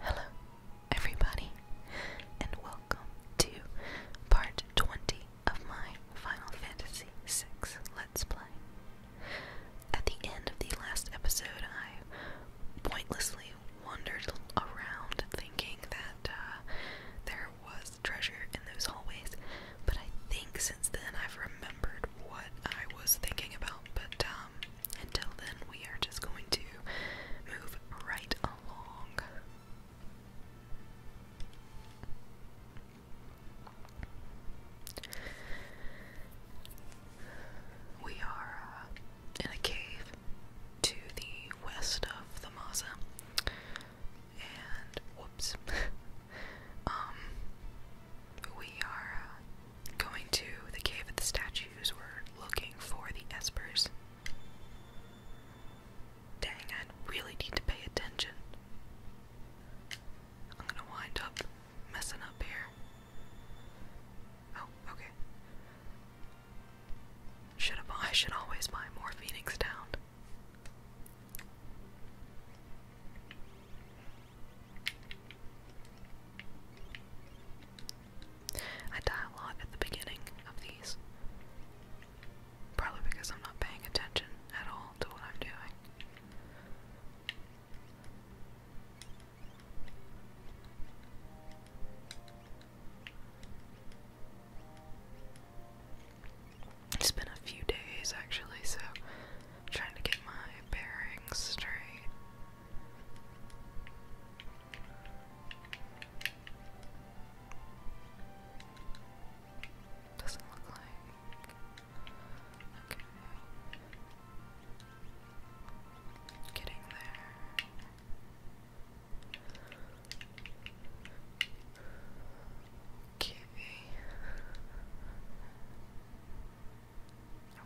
Hello, everybody, and welcome to part 20 of my Final Fantasy VI Let's Play. At the end of the last episode, I pointlessly wandered around thinking that uh, there was treasure in those hallways. But I think since then I've remembered what I was thinking about. But um, until then, we are just going to move right along. We are uh, in a cave to the west of the Maza and whoops, um, we are uh, going to the cave of the statues. We're looking for the espers. Dang, I really need to pay attention. I'm gonna wind up messing up here. Oh, okay. Should I? I should always buy more Phoenix Down. I die a lot at the beginning of these. Probably because I'm not paying attention at all to what I'm doing. It's been a few days actually, so trying to get my bearings straight. Doesn't look like. Getting there. Okay.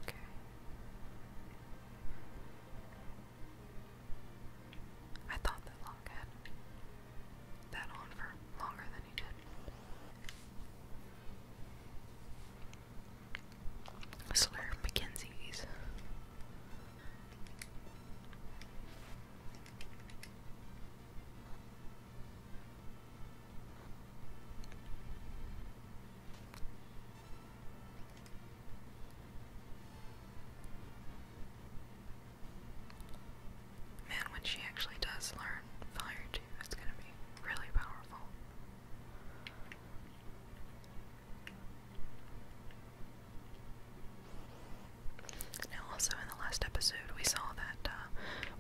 Okay. I thought that Locke that on for longer than he did. Slurp Mackenzie's. Man, when she actually does learn fire too, it's gonna be really powerful. Now, also in the last episode, we saw that uh,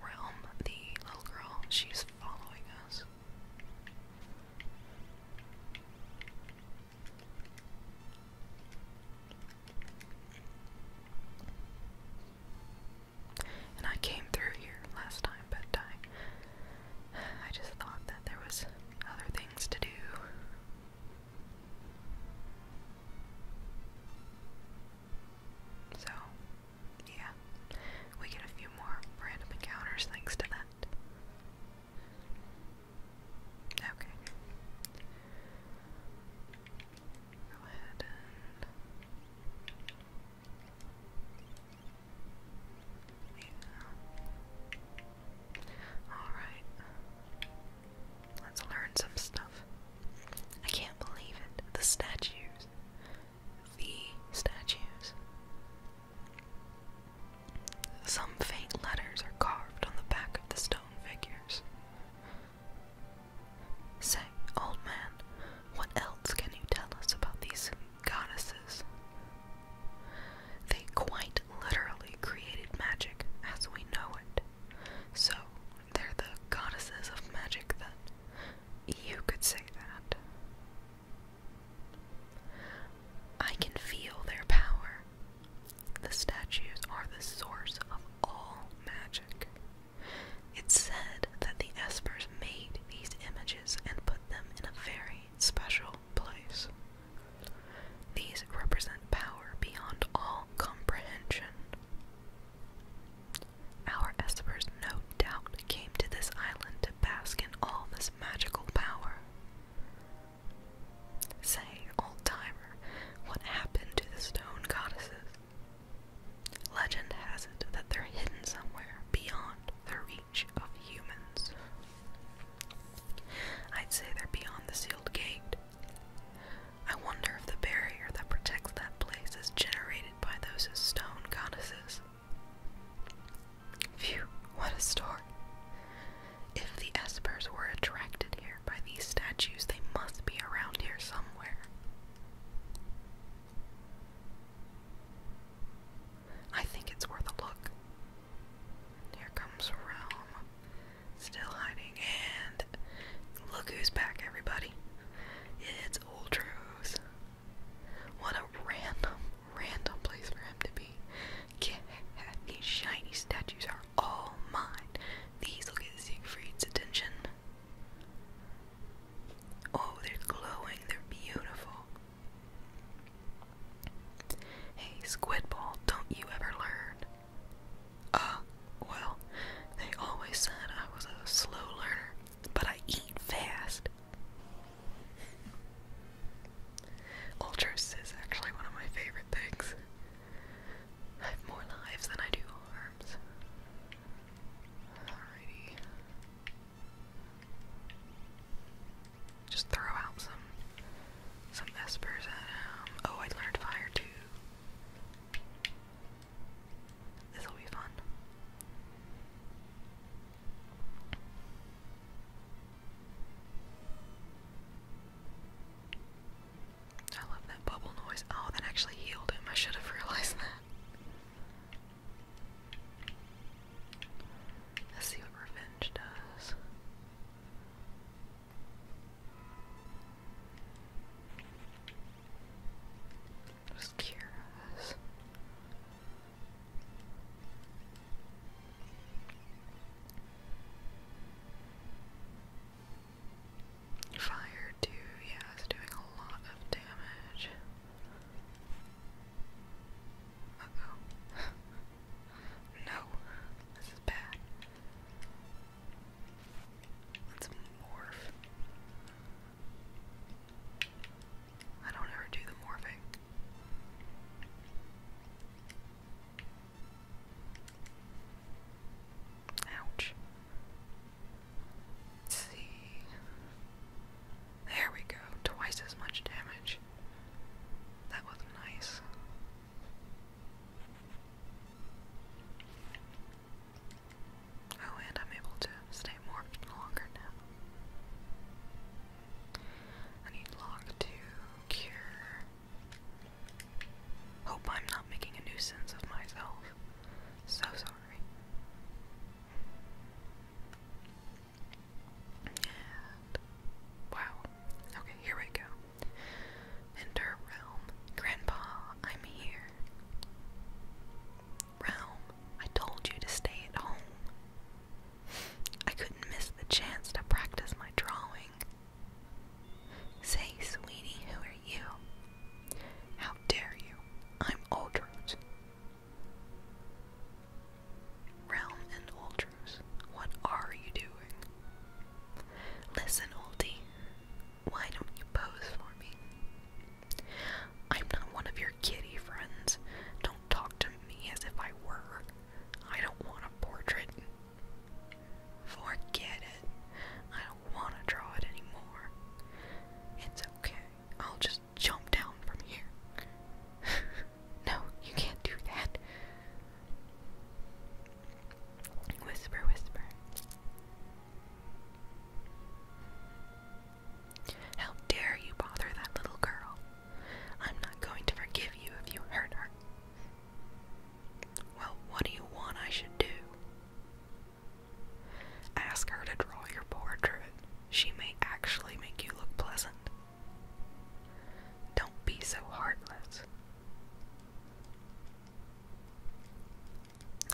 Realm, the little girl, she's following us. And I came through here last time, but I, I just thought that there was other things to do. So, yeah, we get a few more random encounters thanks to that. Okay. Go ahead and. Yeah. Alright. Let's learn some stuff. I can't believe it. The statues. The statues. Some faint letters are carved on the back of the stone figures. Say, old man, what else can you tell us about these goddesses? They quite literally created magic as we know it. So, they're the goddesses of magic, then. You could say that. I can feel their power. The statues are the source of all magic. It's said that the Espers made these images and put them in a very special place. These represent power beyond all comprehension. Our espers no doubt came to this island to bask in all this magical power. Say, old timer, what happened to the stone goddesses? Legend has it that they're hidden somewhere beyond the reach of humans. I'd say they're beyond the sealed gate. I wonder if the barrier that protects that place is generated by those stone goddesses. Phew, what a story. If the espers were attracted here by these statues, they must be around here somewhere. I think it's worth a look. Here comes Realm, still hiding, and look who's back, everybody. It's Ultros. What a random, random place for him to be. these shiny statues are all mine. These will get Siegfried's attention. Oh, they're glowing, they're beautiful. Hey, Squidball, don't you ever learn? Uh, well, they always said I was a slow learner, but I eat fast. Ultras is actually one of my favorite things. I have more lives than I do arms. Alrighty. Just throw out some some espers at him. Oh, I learned fire too. This will be fun. I love that bubble noise. Oh, that actually healed him. I should have realized that. Let's see what revenge does. Just curious. Fire too, yeah, it's doing a lot of damage. no, this is bad. Let's morph. I don't ever do the morphing. Ouch. see. There we go. Twice as much damage. That was nice. Oh, and I'm able to stay more longer now. I need log to cure. Hope I'm not making a nuisance of myself. So sorry. And wow. Okay, here we go. Enter realm. Grandpa, I'm here. Realm, I told you to stay at home. I couldn't miss the chance to practice my drawing. Say, sweetie, who are you? How dare you? I'm Aldrus. Realm and Aldrus, what are you doing? Listen, Oldie, why don't you pose for me? I'm not one of your kitty friends. Don't talk to me as if I were. I don't want a portrait. Forget it. I don't want to draw it anymore. It's okay. I'll just jump down from here. no, you can't do that. Whisper, whisper. How dare you bother that little girl? I'm not going to forgive you if you hurt her. Well, what do you want I should do? Ask her to draw your portrait. She may actually make you look pleasant. Don't be so heartless.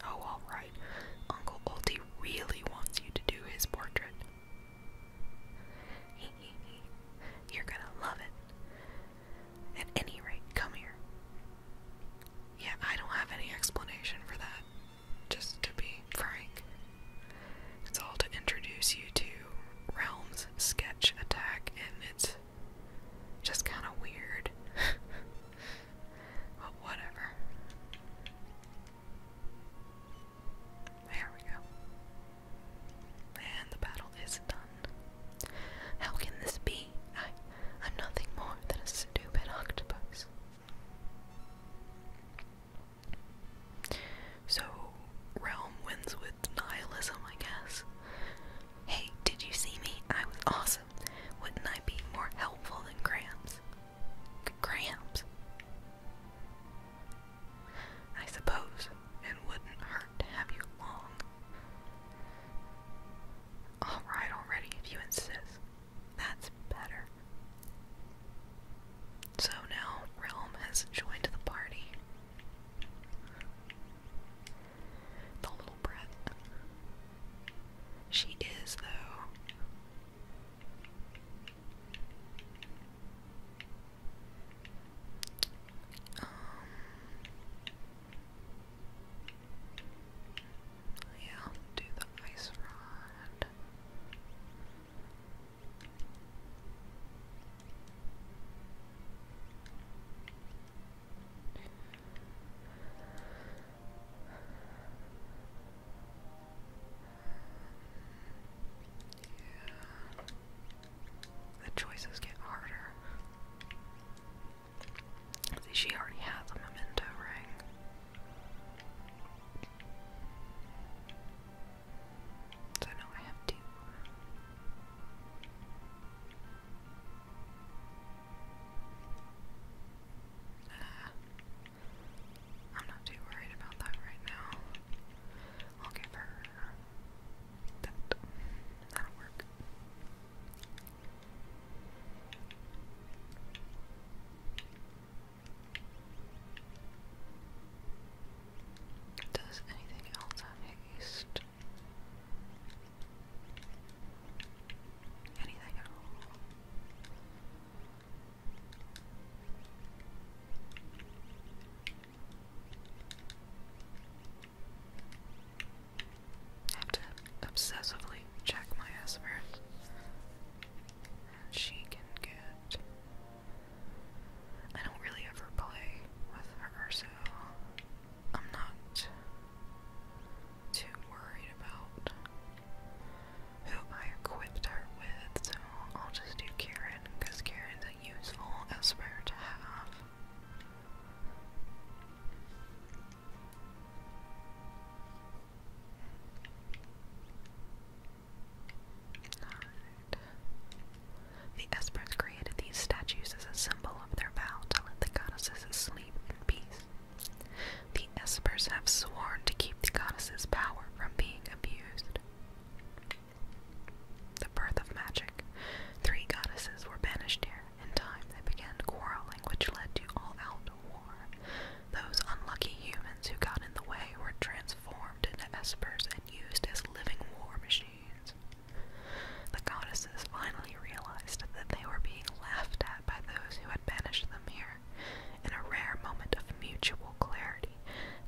Oh, alright. Uncle Olty really wants you to do his portrait. You're gonna love it. At any rate, come here. Yeah, I don't have any explanation for that. Just to be frank, it's all to introduce you to Realm's sketch attack, and it's just kind of weird. But whatever. There we go. And the battle is done. How can this be? I, am nothing more than a stupid octopus. So, Realm wins with nihilism, I guess. Hey, did you see me? I was awesome. Wouldn't I be more helpful than Gramps? G I suppose it wouldn't hurt to have you along. All right, already, if you insist. That's better. So now Realm has joined the party culprit. She is, though. Um, yeah, do the ice rod. The choices get harder. she already has a memento ring. So now I have two. Uh, I'm not too worried about that right now. I'll give her that. That'll work. Does anything else have to obsessively check my aspirins. And she can get. I don't really ever play with her, so I'm not too worried about who I equipped her with, so I'll just do Karen, because Karen's a useful esper to have. The espers created these statues as a symbol of their vow to let the goddesses sleep in peace. The Espers have sworn to keep the goddess's power from being abused. The birth of magic. Three goddesses were banished here. In time, they began quarreling, which led to all-out war. Those unlucky humans who got in the way were transformed into espers and used as living war machines. The goddesses finally realized that they were being laughed at by those who had banished them here her. In a rare moment of mutual clarity,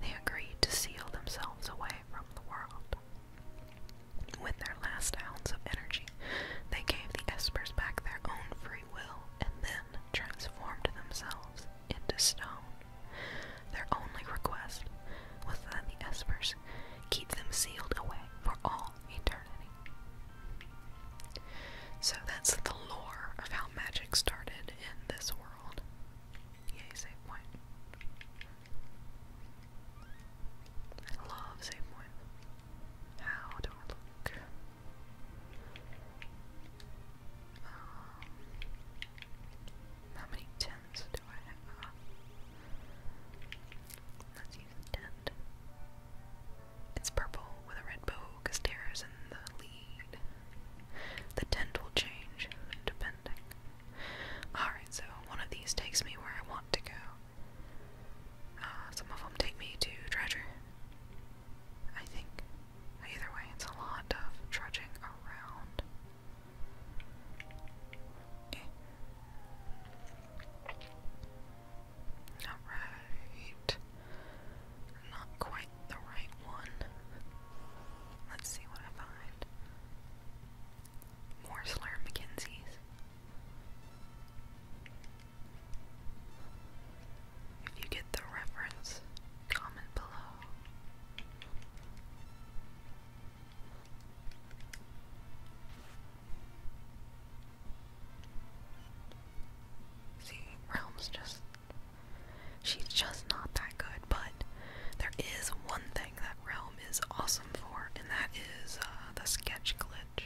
they agreed to seal themselves away from the world. With their last ounce of energy, they gave the Espers back their own free will and then transformed themselves into stone. Their only request was that the Espers keep them sealed away for all eternity. So that's the lore of how magic started in this world. Yay, save point. I love save point. How do I look? Um, how many tens do I have? Let's use a tent. It's purple with a red bow because Tara's in the lead. The tent will change depending. Alright, so one of these takes me where I want to go. Uh, some of them take me to treasure. I think. Either way, it's a lot of trudging around. Eh. Alright. Not quite the right one. Let's see what I find. More Slur If you get the reference, comment below. See, Realm's just. She's just not that good, but there is one thing that Realm is awesome for, and that is uh, the sketch glitch,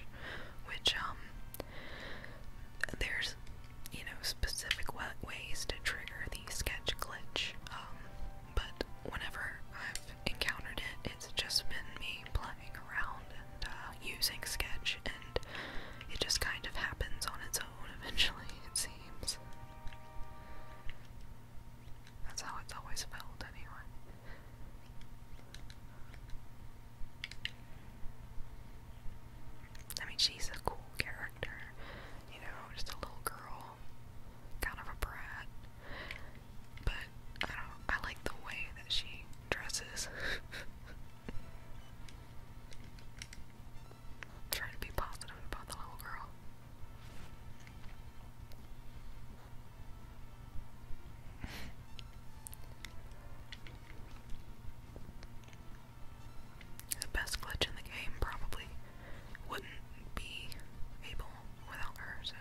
which, um, there's, you know, specific ways to trigger the sketch glitch, um, but whenever I've encountered it, it's just been me playing around and, uh, using Sketch, and it just kind of happens on its own eventually, it seems. That's how it's always felt, anyway. I mean, she's a cool character, you know, just a little girl, kind of a brat. But I don't. I like the way that she dresses. Trying to be positive about the little girl. the best glitch in the game probably wouldn't be able without her, so.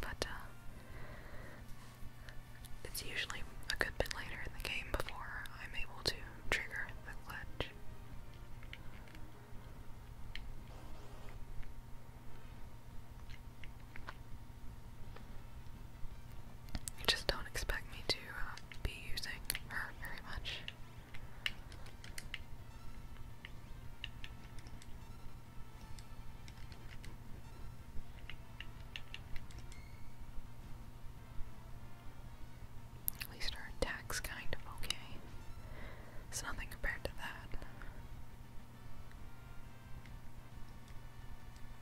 But, uh, it's usually a good bit later in the game before I'm able to trigger the glitch. You just don't expect me to uh, be using her very much. At least our attack's kind of okay. It's nothing compared to that.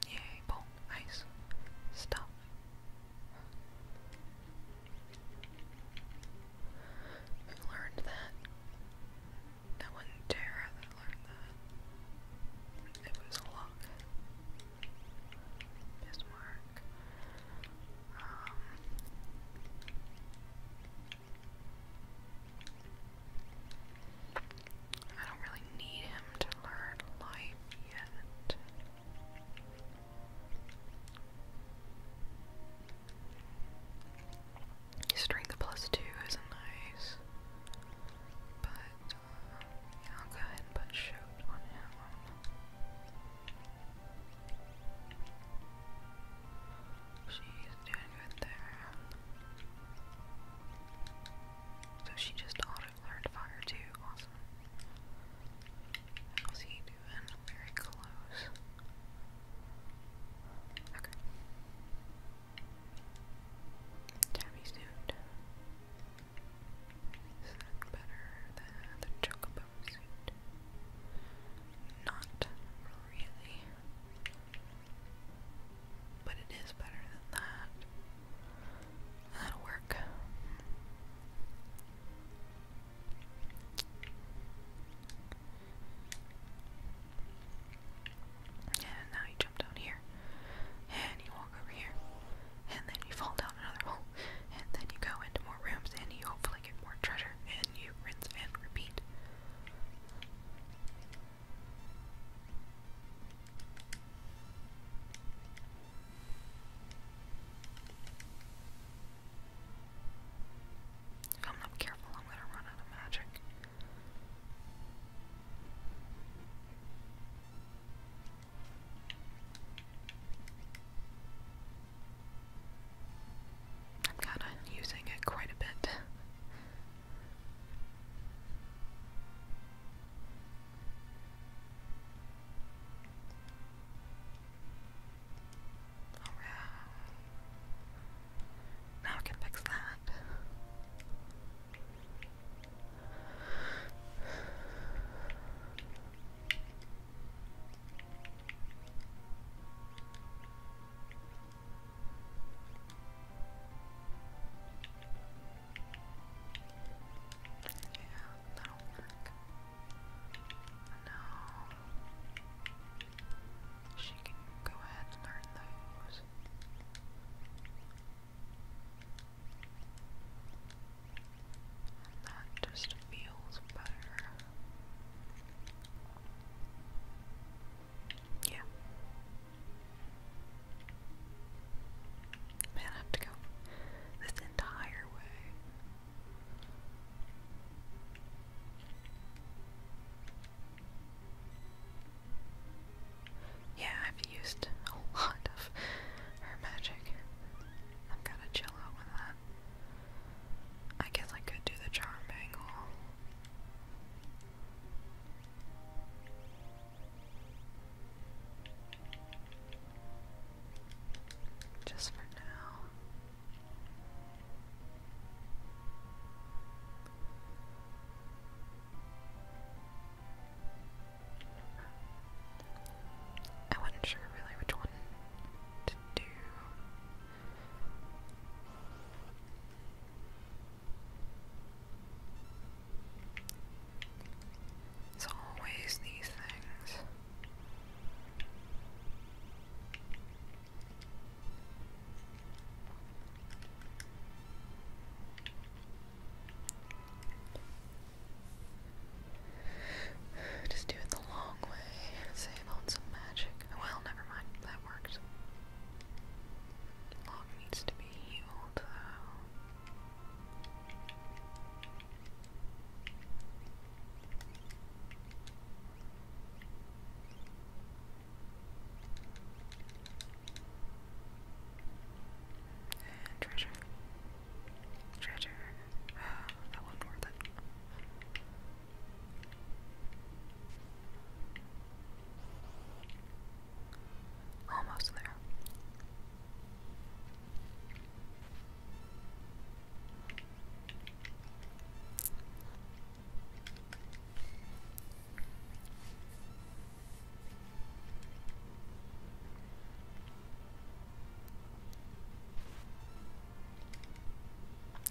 Yay, nice stuff. Who learned that? That wasn't Tara that learned that. It was luck. Bismarck. Um. I don't really need him to learn life yet. Strength plus two isn't nice. But uh, yeah, I'll go ahead and put shoot on him. She's doing good there. So she just auto learned fire too. Awesome. How's he doing? Very close. Okay. Tabby's doing. Is that better than the chocobo suit? Not really. But it is better than that. That'll work. And now you jump down here, and you walk over here, and then you fall down another hole, and then you go into more rooms, and you hopefully get more treasure, and you rinse and repeat. If I'm not careful, I'm gonna run out of magic. I'm kinda using it quite a bit. Alright. Now I can fix that. Yeah, that'll work. No. She can go ahead and learn those. And that just feels better. Yeah. Man, I have to go this entire way. Yeah, I've used a lot of her magic. I've got to chill out with that. I guess I could do the charm bangle. Just for now. I wasn't sure really which one to do. It's always these things. Just do it the long way. Save on some magic. Well, never mind. That worked. Log needs to be healed, though. And treasure. Treasure. Oh, that wasn't worth it. Almost there.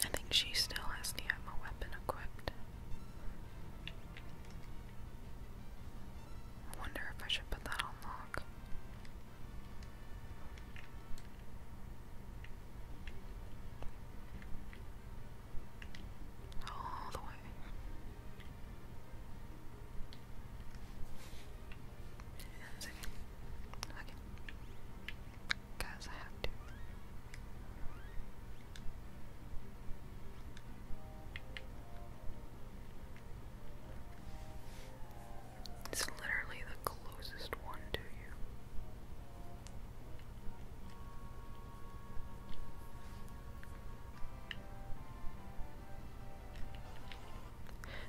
I think she still has the ammo weapon equipped. I wonder if I should put that on all the way. That's okay. Okay. I have to. It's literally the closest one to you.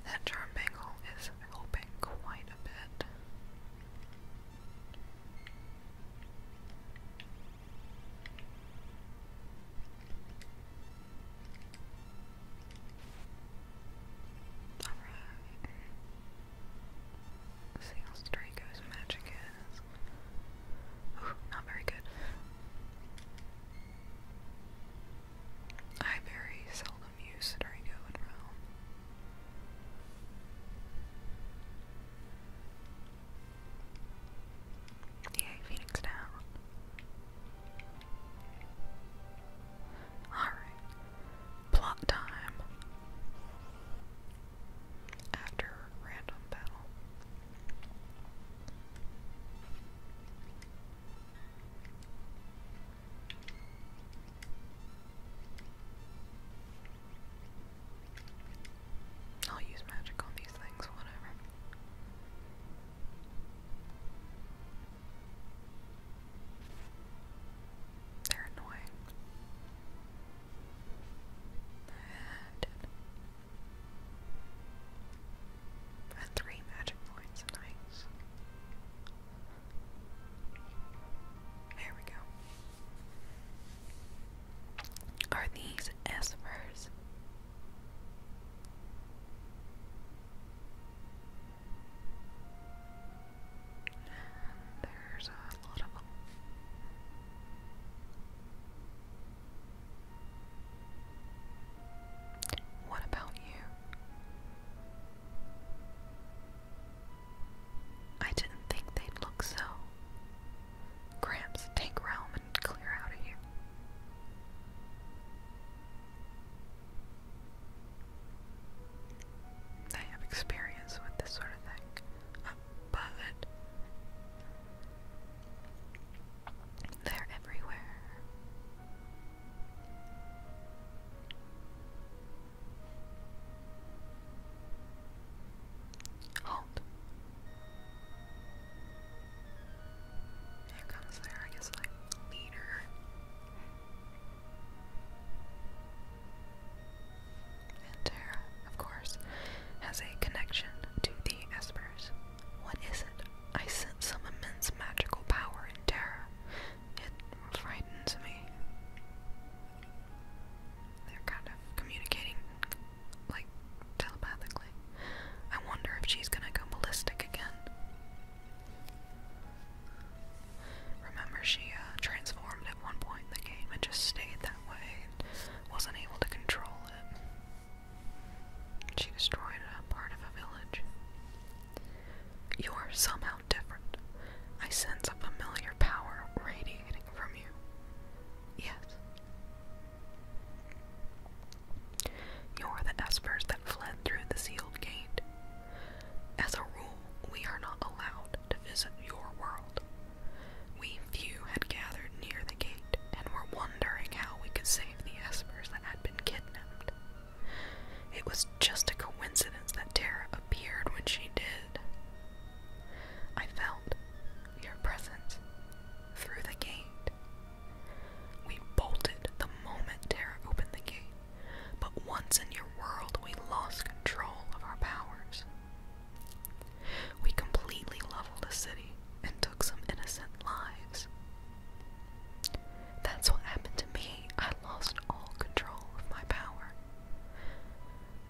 That charm bangle is helping quite a bit. Alright. let see how Draco's magic is. not very good. I very seldom use Draco in Realm. Yay, Phoenix down. Alright. Plot time. After random battle. I'll use magic on these things, whatever. They're annoying. And and three magic points, nice. There we go. Are these espers? And there's a lot of What about you? I didn't think they'd look so. Gramps, take Realm and clear out of here. I have experience with this sort of thing, uh, but they're everywhere. Halt. Here comes there, I guess, like, leader. And Terra, of course, has a connection to the Espers. What is it? I sense some immense magical power in Terra. It frightens me. They're kind of communicating, like, telepathically. I wonder if she's gonna go ballistic again. Remember, she uh, transformed at one point in the game and just stayed that way and wasn't able to control it. She destroyed a part of a village. You're somehow different. I sense a familiar power radiating from you. Yes. You're the Aspers that fled through the sealed gate. As a rule, we are not allowed to visit your world. We few had gathered near the gate and were wondering how we could save the Aspers that had been kidnapped. It was just a coincidence that Tara appeared when she did. I felt your presence through the gate. We bolted the moment Terra opened the gate, but once in your world, we lost control of our powers. We completely leveled a city and took some innocent lives. That's what happened to me. I lost all control of my power.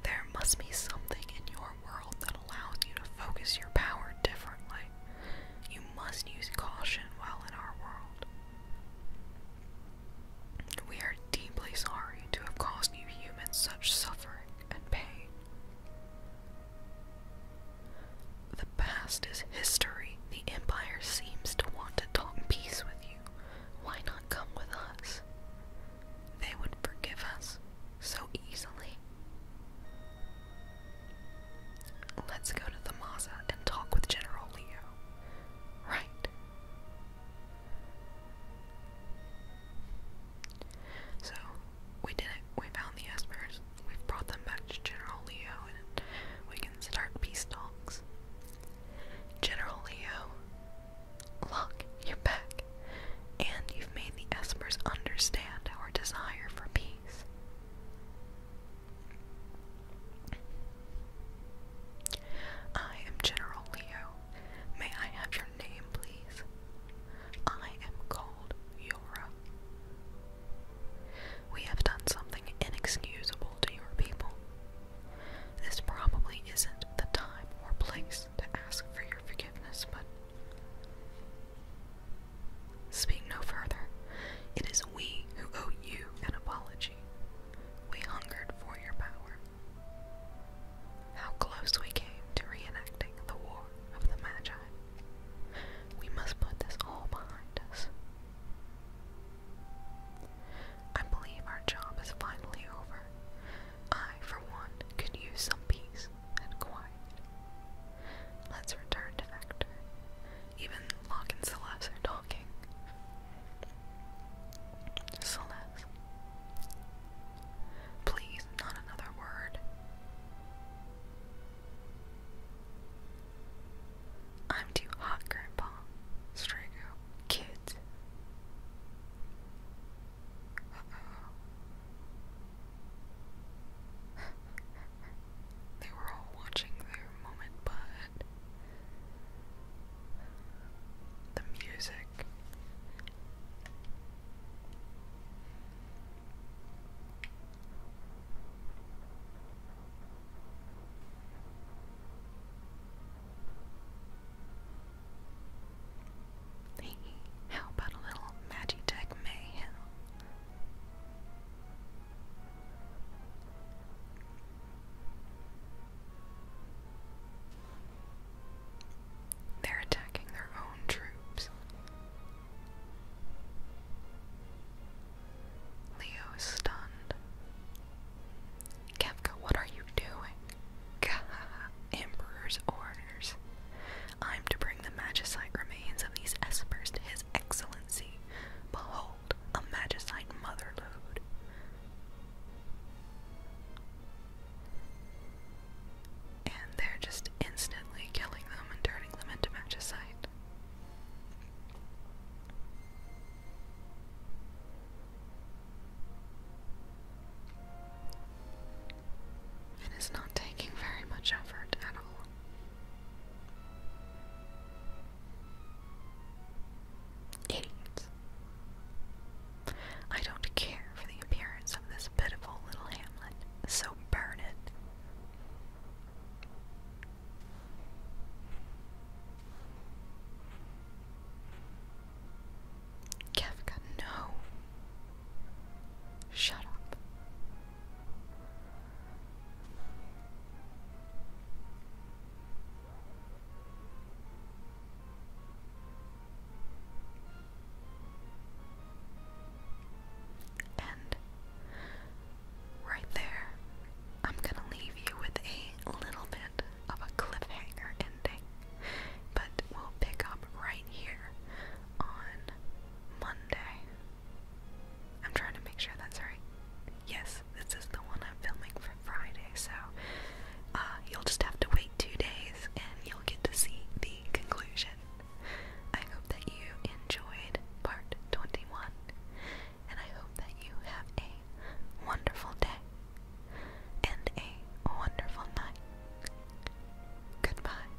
There must be something in your world that allows you to focus your power differently. You must use caution while in our world. We are deeply sorry to have caused you humans such suffering and pain. The past is history. The Empire seems to want to talk peace with you. Why not come with us? They would forgive us so easily. Let's go to the Maza and talk with General Leo. Right. So, we did it. We found the Espers. We've brought them back to General Leo and we can start peace talks. General Leo, look, you're back. And you've made the Espers understand our desire for peace. I am General Leo. May I have your name, please? I am called Yora. We have done something inexcusable to your people. This probably isn't the time or place to ask for your forgiveness, but. Speak no further. It is we who owe you an apology. We hungered for your power. How close we came to reenacting the War of the Magi. We must put this all behind us. I believe our job is finally over. I, for one, could use some peace and quiet. Let's return to Vector even Locke and Celeste are talking. Celeste. Please, not another word. I'm too hot, Grandpa. Strago. Kids they were all watching their moment, but the music Hey, how about a little Magitech mayhem? They're attacking their own troops. Leo is stunned. Kevka, what are you doing? Emperor's orders. I'm to bring the magicite remains of these espers to his excellency. Behold a magicite mother And they're just instantly killing them and turning them into magicite. And it's not taking very much effort at all. Idiots. I don't care for the appearance of this pitiful little hamlet, so burn it. Kafka, no. Shut up. And right there, I'm gonna leave you with a little bit of a cliffhanger ending, but we'll pick up right here on Monday. I'm trying to make sure that's right. Yes, this is the one I'm filming for Friday, so uh, you'll just have to wait two days and you'll get to see the conclusion. I hope that you enjoyed part 21, and I hope that you have a wonderful day and a wonderful night. Goodbye.